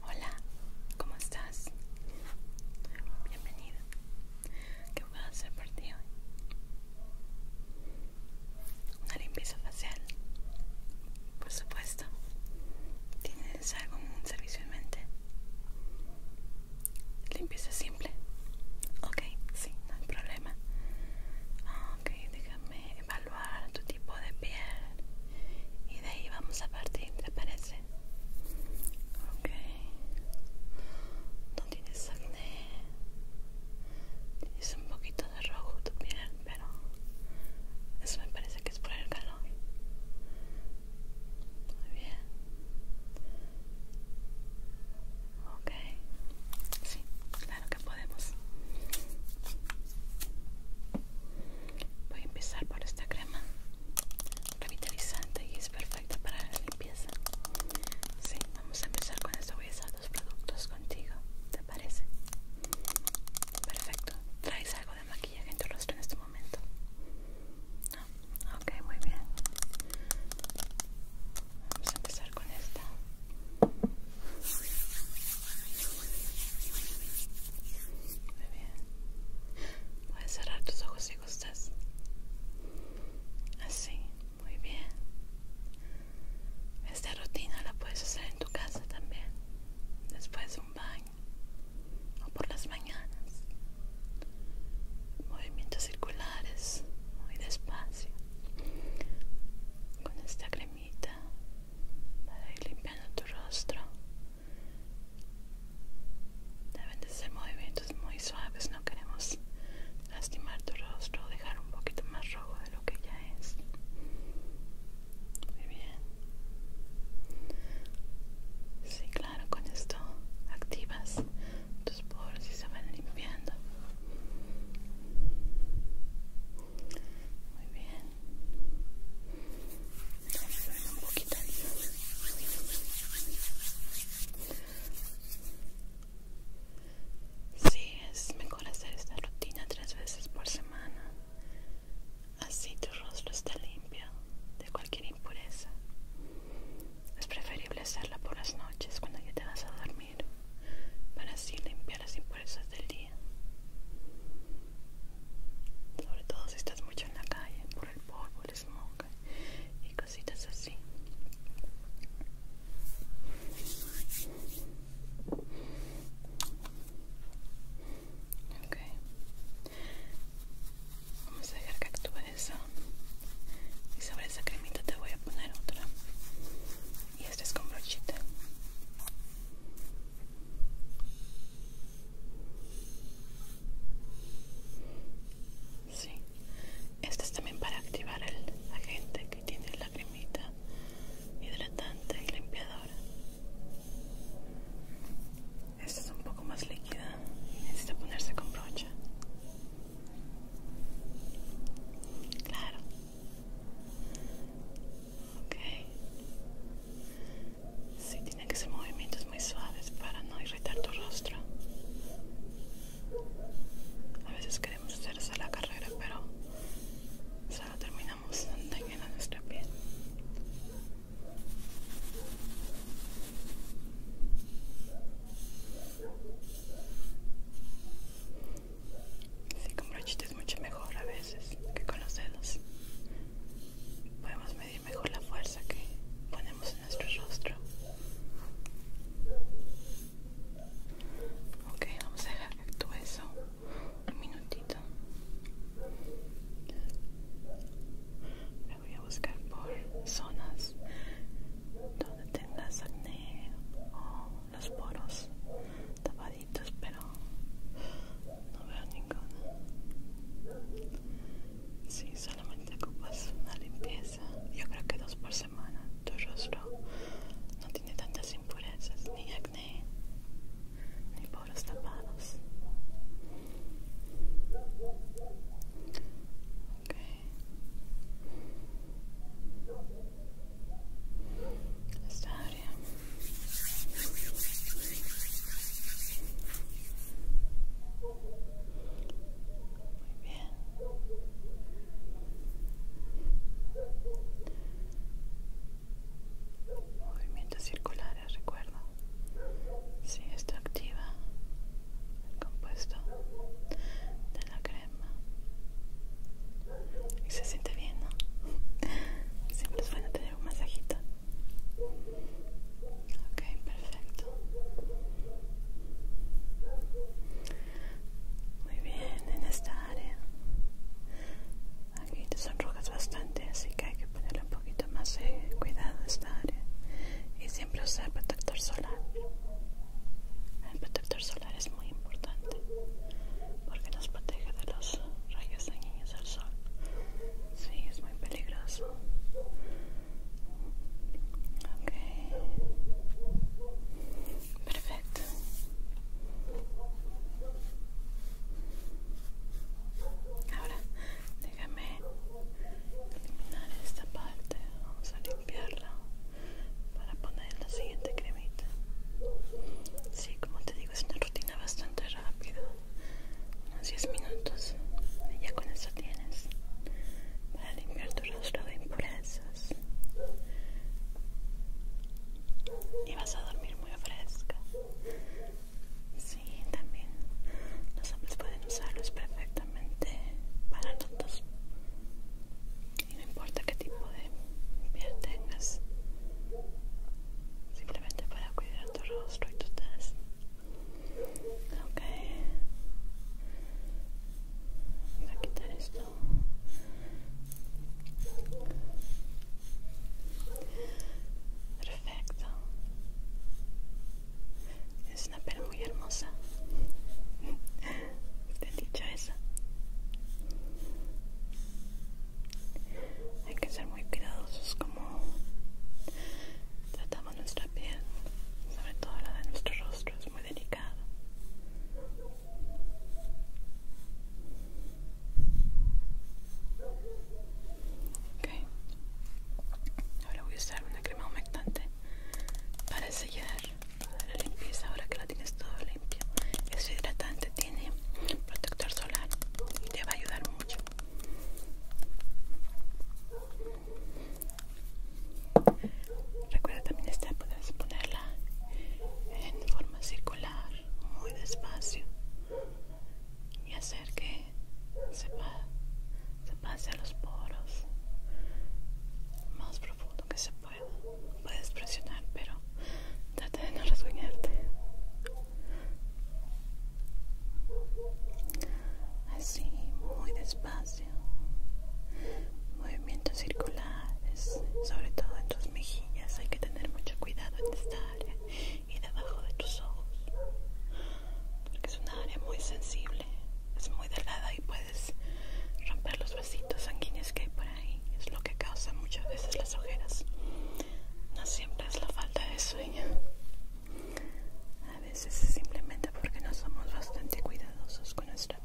Hola, ¿cómo estás? Bienvenido. ¿Qué puedo hacer por ti hoy? Una limpieza facial. Por supuesto. ¿Tienes un servicio en mente? Limpieza simple. Ok, sí, no hay problema. Ah, ok, déjame evaluar tu tipo de piel. Y de ahí vamos a partir, ¿te parece? Ok. No tienes acné. Tienes un poquito de rojo tu piel, pero eso me parece que es por el calor. Muy bien. Ok, sí, claro que podemos. Voy a empezar por esta crema revitalizante y es perfecta para la limpieza. Sí, vamos a empezar con esto. Voy a usar dos productos contigo, ¿te parece? Perfecto. ¿Traes algo de maquillaje en tu rostro en este momento? Ok, muy bien. Vamos a empezar con esta. Muy bien. Puedes cerrar tus ojos si gustas. Así, muy bien. Esta rutina la puedes hacer en tu casa también. Después de un baño o por las mañanas movimientos circulares muy despacio con esta cremita para ir limpiando tu rostro deben de ser movimientos muy suaves no queremos lastimar tu rostro o dejar un poquito más rojo de lo que ya es muy bien Sí, claro con esto activas tus poros y se van limpiando muy bien un poquito Sí, es mejor hacer esta rutina tres veces por semana. Así tu rostro está limpio de cualquier impureza. Es preferible hacerla por las noches cuando ya te vas a dormir, para así limpiar las impurezas del día. Sobre todo si estás mucho en la calle, por el polvo, el smog y cositas así. Okay. Vamos a dejar que actúe eso. Y sobre esa cremita te voy a poner otra. Y esta es con brochita. Sí. Este es también para activar el agente que tiene la cremita hidratante y limpiadora. Esta es un poco más líquida. Necesita ponerse con brocha. Claro. Ok. Sí, tiene que ser movimientos muy suaves para no irritar tu rostro. A veces queremos hacer esa la carrera, pero solo terminamos a nuestra piel. Sí, con brochitas es mucho mejor a veces que con los dedos. Podemos medir mejor la fuerza que ponemos en nuestro rostro. Ok, vamos a dejar que actúe eso un minutito. Me voy a buscar por zonas donde tengas acné o los poros tapaditos pero no veo ninguna si solamente ocupas una limpieza yo creo que dos por semana tu rostro no tiene tantas impurezas ni acné ni poros tapados. Okay. Esta área. Muy bien. Movimientos circulares, ¿eh? recuerda. Si esto activa el compuesto de la crema. Y se siente bien, ¿no? Siempre es bueno tener un masajito. Ok, perfecto. Muy bien, en esta área Aquí te sonrojas bastante, así que hay que ponerle un poquito más de cuidado a esta área. Y siempre usar protector solar. El protector solar es muy importante porque nos protege de los rayos dañinos del sol. Sí, es muy peligroso. Ok. Perfecto. Ahora déjame eliminar esta parte. Vamos a limpiarla para poner la siguiente cremita. Sí, como te digo, es una rutina bastante rápida. Unos 10 minutos. Y ya con eso tienes para limpiar tu rostro de impurezas y vas a dormir muy fresca. Sí, también los hombres pueden usarlos perfectamente para todos. Y no importa qué tipo de piel tengas, simplemente para cuidar tu rostro y tu tez. Ok, voy a quitar esto. Perfecto. Es una piel muy hermosa. Te he dicho esa? Hay que ser muy cuidadosos como tratamos nuestra piel, sobre todo la de nuestro rostro, es muy delicado. Ahora voy a usar una crema humectante para sellar para la limpieza. Ahora que la tienes todo limpio, es hidratante, tiene protector solar y te va a ayudar mucho. Recuerda también esta, puedes ponerla en forma circular, muy despacio y hacer que se, pase a los poros más profundo que se pueda. Puedes presionar, pero trata de no resguñarte Así, muy despacio. Movimiento circular sobre todo en tus mejillas. Hay que tener mucho cuidado en esta área y debajo de tus ojos, porque es una área muy sensible, es muy delgada y puedes romper los vasitos sanguíneos que hay por ahí. Es lo que causa muchas veces las ojeras. No siempre es la falta de sueño. A veces es simplemente porque no somos bastante cuidadosos con nuestro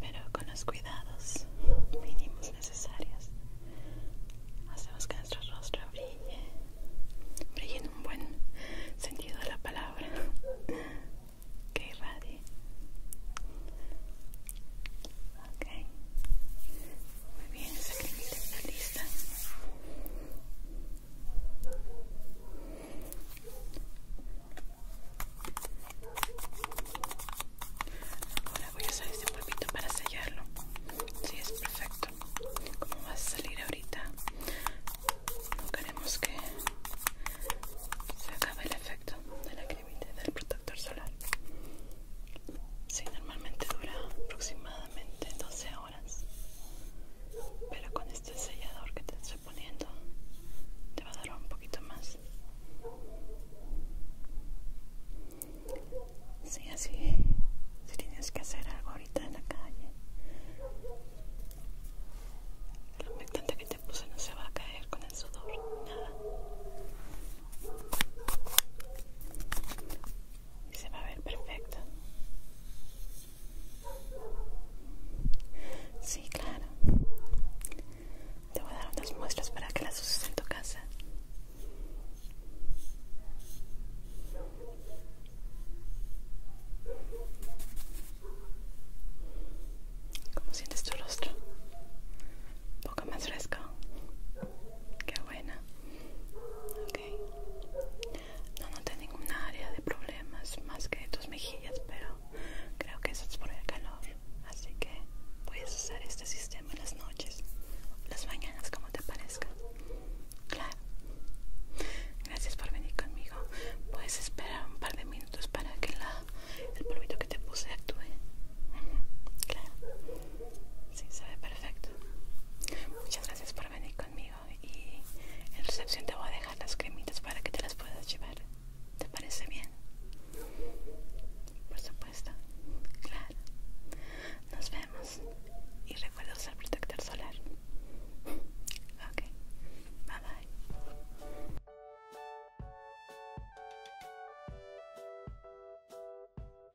pero con los cuidados mínimos necesarios, hacemos que nuestro rostro brille. Brille en un buen sentido de la palabra. Que irradie. Ok. Muy bien, esa termina la lista. Ahora voy a usar este polvito para sellarlo. Sí, es perfecto. Como va a salir ahorita, no queremos que se acabe el efecto de la cremita del protector solar. Sí, normalmente dura aproximadamente 12 horas pero con este sellador que te estoy poniendo te va a dar un poquito más Sí, así si tienes que hacer algo ahorita en la calle el humectante que te puse no se va a caer con el sudor nada y se va a ver perfecto. Sí, claro. Te voy a dar unas muestras para que las uses en tu casa. ¿Cómo sientes tu rostro? Un poco más fresco. Qué buena no noté ninguna área de problemas más que tus mejillas pero creo que eso es por el calor así que puedes usar este sistema en las noches las mañanas como te parezca claro gracias por venir conmigo puedes esperar un par de minutos para que el polvito que te puse actúe claro Sí, se ve perfecto. Muchas gracias por venir conmigo y en recepción te voy a dejar las cremitas para que te las puedas llevar. ¿Te parece bien? Por supuesto. Claro. Nos vemos y recuerda usar protector solar. Ok. Bye bye.